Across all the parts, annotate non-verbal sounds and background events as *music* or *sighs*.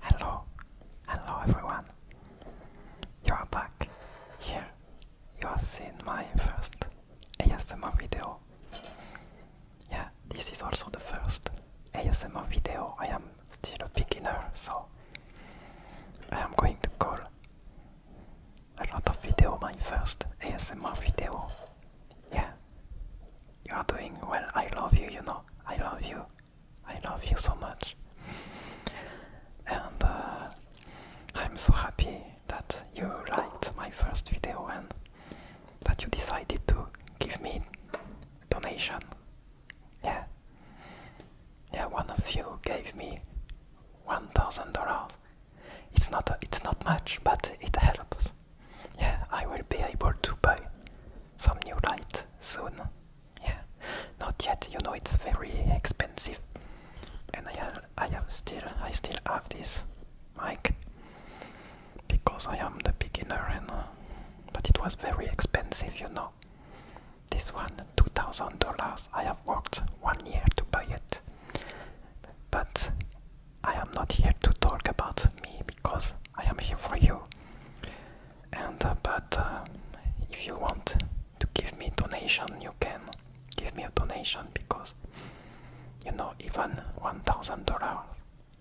Hello, hello everyone. You are back. Here, you have seen my first ASMR video. Yeah, this is also the first ASMR video. I am still a beginner, so I am going to call a lot of video, my first ASMR video. Yeah, you are doing well. I love you, you know. I love you. I love you so much. And uh, I'm so happy that you liked my first video and that you decided to give me donation yeah. Yeah, one of you gave me one thousand dollars. It's not it's not much, but it helps. Yeah, I will be able to buy some new light soon. Yeah, not yet. You know it's very expensive, and I have, I have still, I still have this mic because I am the beginner, and uh, but it was very expensive, you know. This one, $2,000, I have worked one year to buy it. But I am not here to talk about me because I am here for you. And uh, but uh, if you want to give me donation, you can give me a donation because you know even one thousand dollars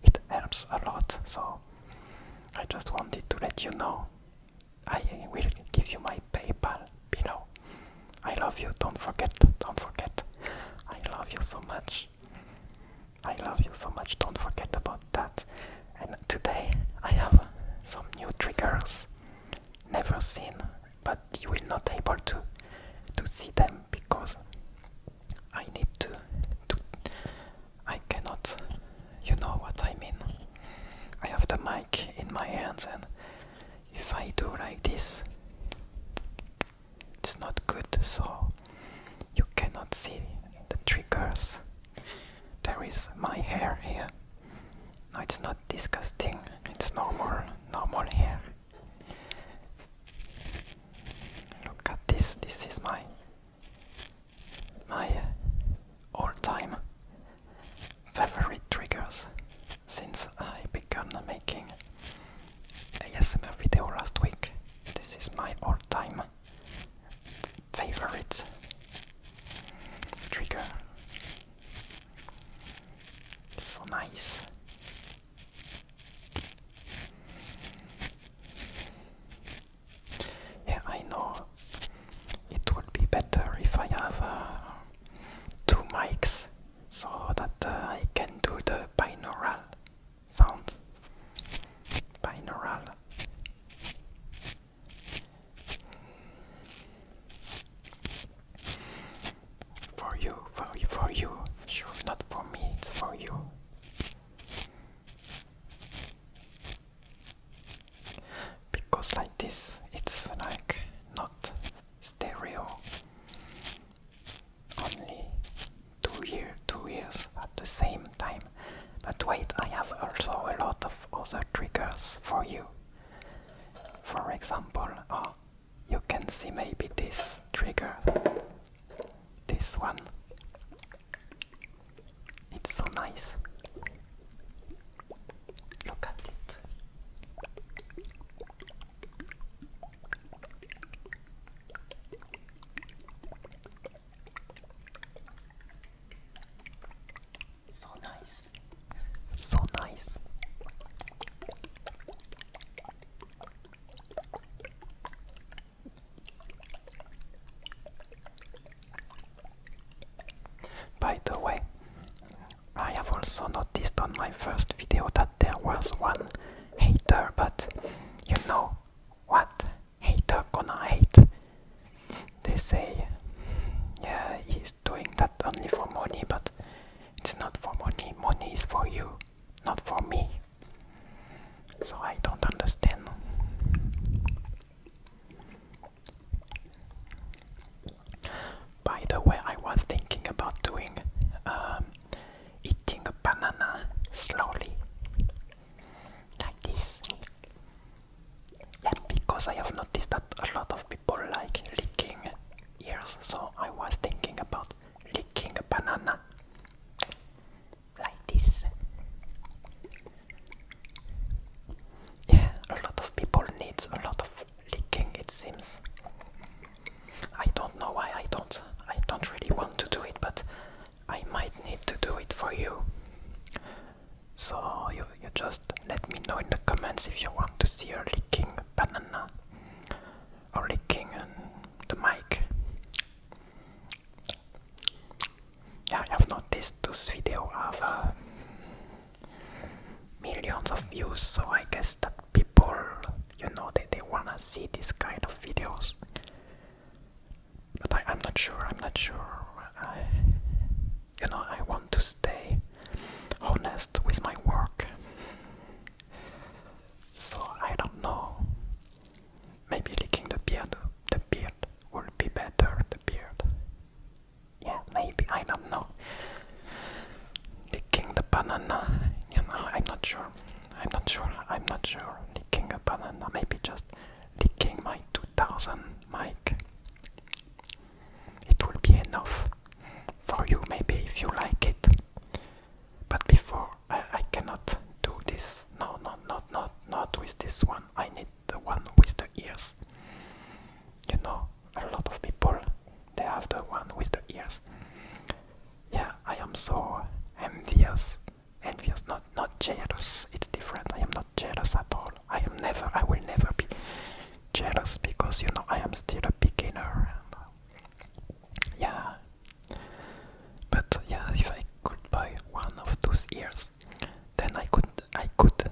it helps a lot. So I just wanted to let you know I will give you my PayPal You know, I love you, don't forget, don't forget. I love you so much. I love you so much, don't forget about that. And today I have some new triggers never seen, but you will not able to to see them because I need to, to I cannot you know what I mean. I have the mind in my hands and if I do like this it's not good so you cannot see the triggers. There is my hair here. No, it's not disgusting, it's normal, normal hair. Look at this, this is my my all-time favorite triggers since I began making ASMR video last week. This is my all-time favorite trigger. So nice. Yeah, I know it would be better if I have uh, two mics so that uh, I can do the binaural sounds. Binaural. For you, for you, for you. Sure, not for me, it's for you because like this it's like not stereo only two year two years at the same time but wait i have also a lot of other triggers for you for example oh, you can see maybe this trigger this one it's so nice. Look at it. So nice. So nice. By the way, I have also noticed on my first video that there was one hater, but you know what? Hater gonna hate. They say, he's doing that only for money, but it's not for money. Money is for you, not for me. So I don't understand. By the way, I was thinking about doing um, eating a banana slowly, like this. Yeah, because I have noticed that a lot of people like licking ears, so I was thinking about licking a banana like this. Yeah, a lot of people needs a lot of licking it seems. I don't know why I don't I don't really want to do it but I might need to do it for you. So you you just let me know in the comments if you want to see a licking banana or licking um, the mic. Yeah, I have noticed this video have uh, millions of views, so I guess that people, you know, they, they wanna see this kind of videos. But I, am not sure, I'm not sure. you know, I want to stay honest with my work. So I don't know Maybe licking the beard, the beard would be better, the beard. Yeah, maybe, I don't know. Licking the banana, you know, I'm not sure. I'm not sure, I'm not sure. Licking a banana, maybe just licking my 2000 mic. It will be enough for you, maybe, if you like it. But before, I, cannot do this. No, no, not, not, not with this one. I need the one with the ears. You know, a lot of people they have the one with the ears. Yeah, I am so envious. Envious, not not jealous. It's different. I am not jealous at all. I am never. I will never be jealous because you know I am still a beginner. yeah. But yeah, if I could buy one of those ears, then I could I could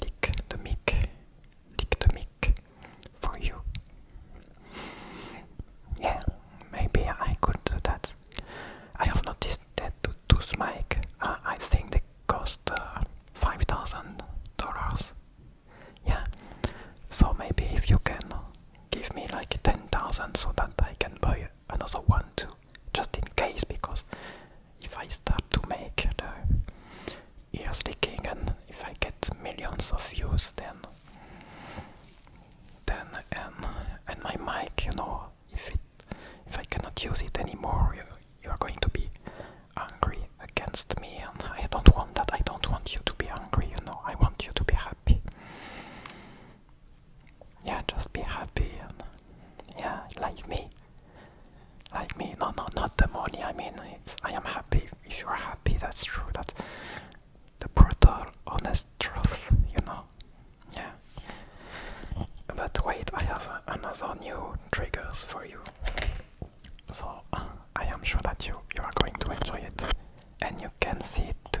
lick the mic, lick the mic for you. Yeah, maybe I could do that. I have noticed that those mic, uh, I think they cost uh, five thousand dollars. Yeah, so maybe if you can give me like ten thousand so that I can buy it another one too, just in case, because if I start to make the ears leaking and if I get millions of views, then then and and my mic, you know, if it if I cannot use it anymore, you you are going to be angry against me, and I don't want that. I don't want you to be angry, you know. I want you to be happy yeah, just be happy and yeah, like me. Like me, no, no, not the money. I mean, it's I am happy. If you are happy, that's true. That's the brutal, honest truth, you know. Yeah. But wait, I have another new triggers for you. So I am sure that you you are going to enjoy it, and you can see it too.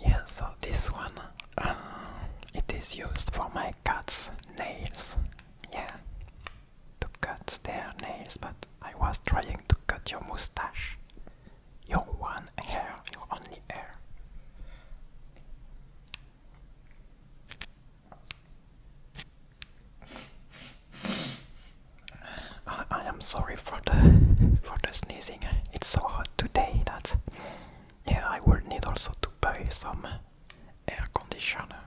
Yeah, so this one, um, it is used for my cat's nails. Yeah, to cut their nails, but I was trying to cut your mustache. Your one hair, your only hair. I, am sorry for the for the sneezing. It's so hot today that yeah, I will need also to buy some air conditioner.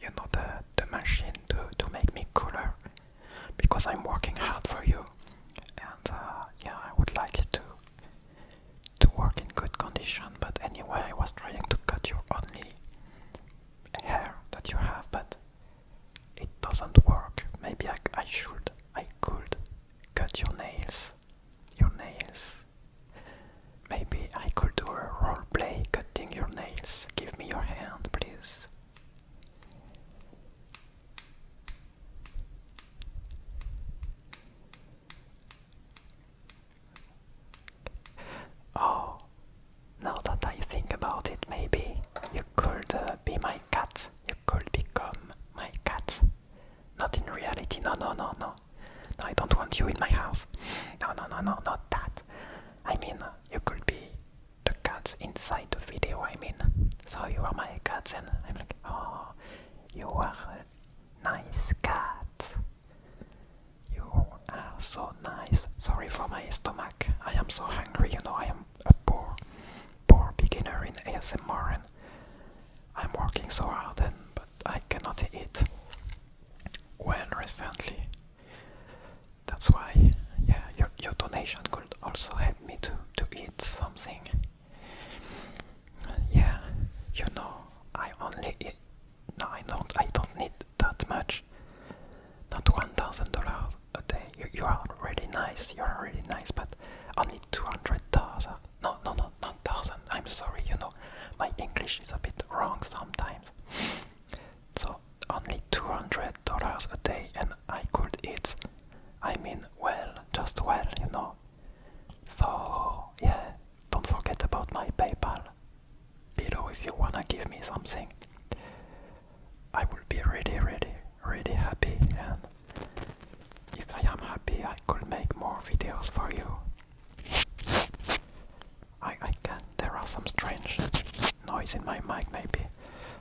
You know the the machine to to make me cooler because I'm working hard for you, and uh, yeah, I would like to to work in good condition. But anyway, I was trying to cut your only hair that you have, but it doesn't work. Maybe I, I should. I could cut your nails. Your nails. Maybe I could do a role play cutting your nails. Give me your hand, please. Oh, now that I think about it, maybe you could uh, be my cat. You could become my cat. Not in reality, no, no, no, no. I don't want you in my house. No, no, no, no, not that. I mean, uh, you could be the cats inside the video, I mean. So you are my cat, and I'm like, oh, you are a nice cat. You are so nice. Sorry for my stomach. I am so hungry, you know, I am a poor, poor beginner in ASMR and I'm working so hard and but I cannot eat When recently. That's why, yeah, your, your donation could also help me to, to eat something. Yeah, you know, I only No, I don't. I don't need that much. Not $1,000 a day. You, are really nice. You are really nice, but only 200,000. No, no, no, not 1,000. I'm sorry, you know, my English is a bit wrong sometimes. So, only $200 a day, and I could eat, I mean, well, just well, you know. So, yeah, don't forget about my PayPal below if you wanna give me something. I will be really, really, really happy, and if I am happy, I could make more videos for you. I, I can. There are some strange noise in my mic, maybe.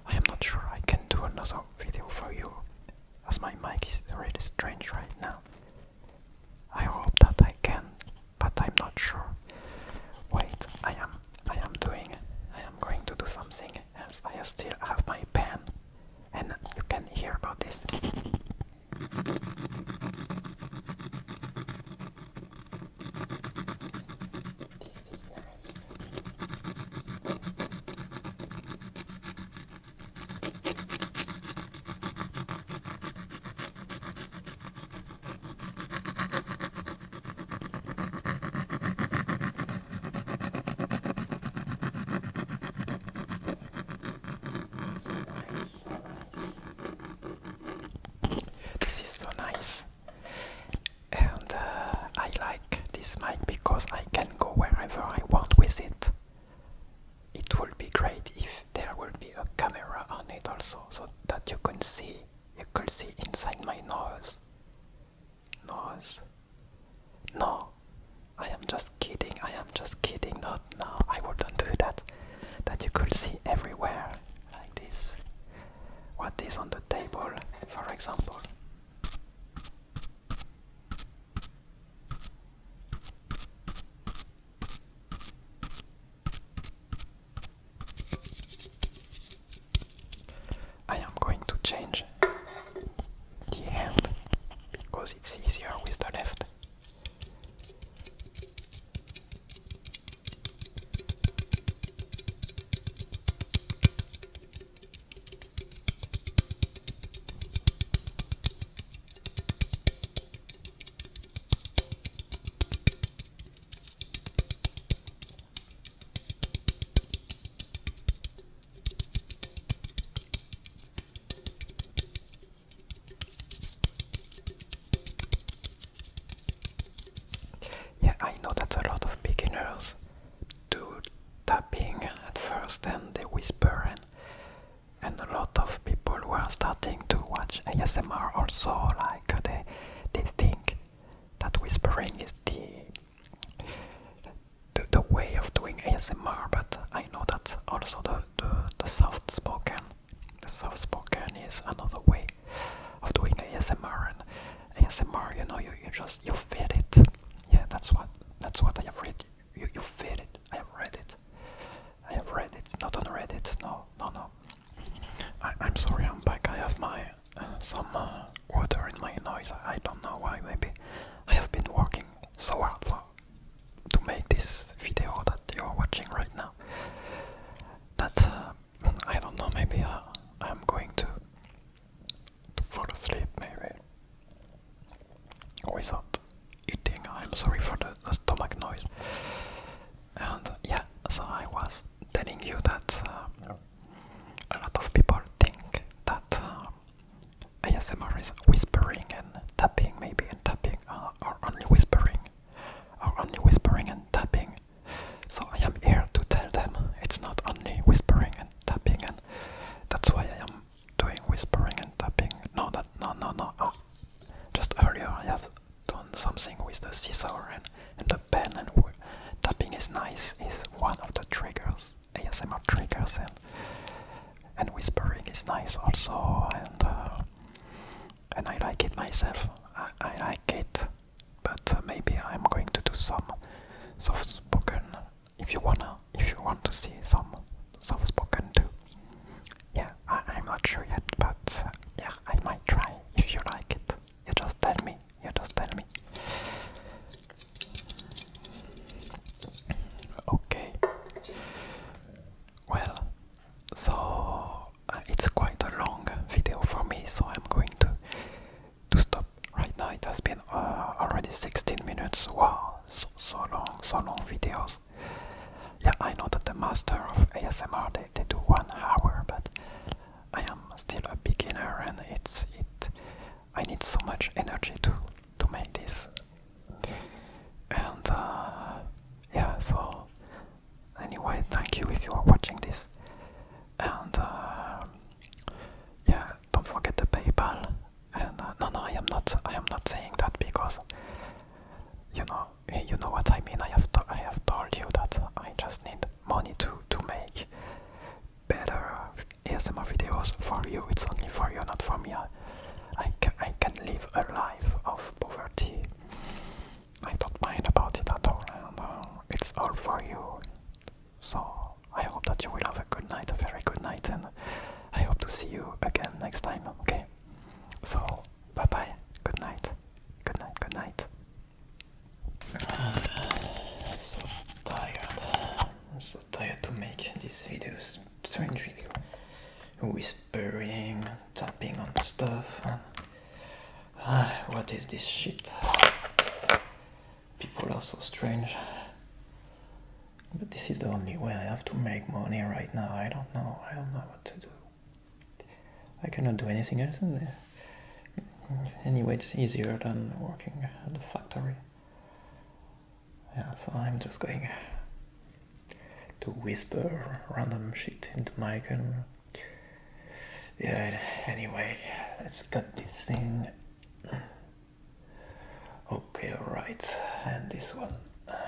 I am not sure. I can do another video for you, as my mic is really strange right now. I hope that I can but I'm not sure. Wait, I am I am doing I am going to do something else. I still have my pen and you can hear about this. This is nice. So nice, so nice. This is so nice. And uh, I like this mic because I can go wherever I want with it. It would be great if there would be a camera on it also, so that you can see you could see inside my nose. Nose. No, I am just kidding. I am just kidding. Not now. I wouldn't do that. That you could see everywhere, like this. What is on the table, for example? I am going to change the hand because it's easier with the left. Yeah, I know that a lot of beginners do tapping at first and they whisper and and a lot of people were starting to watch ASMR also like they, think that whispering is the, the way of doing ASMR, but I know that also the the, soft spoken, soft spoken is another way of doing ASMR. And ASMR, you know, you, you just you feel it. Yeah, that's what that's what I have read. You you feel it. I have read it. I have read it, not on Reddit, no, no, no. I, am sorry, I'm back. I have my uh, some uh, water in my noise. I, don't know why. Maybe I have been working so hard for, to make this video that you're watching right now. But uh, I don't know. Maybe I'm going to fall asleep. Maybe without eating. I'm sorry for the stomach noise. And yeah, so I was telling you that um, a lot of people think that um, is whispering and tapping, maybe, and tapping, uh, or only whispering, or only whispering and tapping. So I am here to tell them it's not only whispering and tapping, and that's why I am doing whispering and tapping. No, that no, no, no. Oh, just earlier I have done something with the scissor and, and the pen and tapping is nice is one of the triggers, ASMR triggers and and whispering is nice also and uh, and I like it myself. I, like it, but uh, maybe I'm going to do some soft spoken. If you wanna, if you want to see some soft spoken too, yeah, I am not sure yet, but yeah, I might try if you like it. You just tell me. You just tell me. Okay. Well, so uh, it's quite a long video for me, so I'm going to to stop right now. It has been uh, already 16 minutes. Wow, so so long, so long videos. Yeah, I know that the master of ASMR they, they do one hour, but I am still a beginner and it's it I need so much energy to to make this. And uh, yeah, so anyway, thank you if you are watching this. And uh, yeah, don't forget the PayPal. And uh, no, no, I am not. I am not saying that because you know you know what I mean. I have I have told you that I just need money to to make better ASMR videos for you. It's only for you, not for me. I I, can live a life of poverty. I don't mind about it at all, and uh, it's all for you. So I hope that you will have a good night, a very good night, and I hope to see you again next time. Okay. So, bye bye. Good night. Good night. Good night. I'm *sighs* so tired. I'm so tired to make this videos. Strange video. Whispering, tapping on stuff. Ah, what is this shit? People are so strange. But this is the only way I have to make money right now. I don't know. I don't know what to do. I cannot do anything else Anyway, it's easier than working at the factory. Yeah, so I'm just going to whisper random shit into the mic. Yeah, anyway, let's cut this thing. Okay, alright, and this one.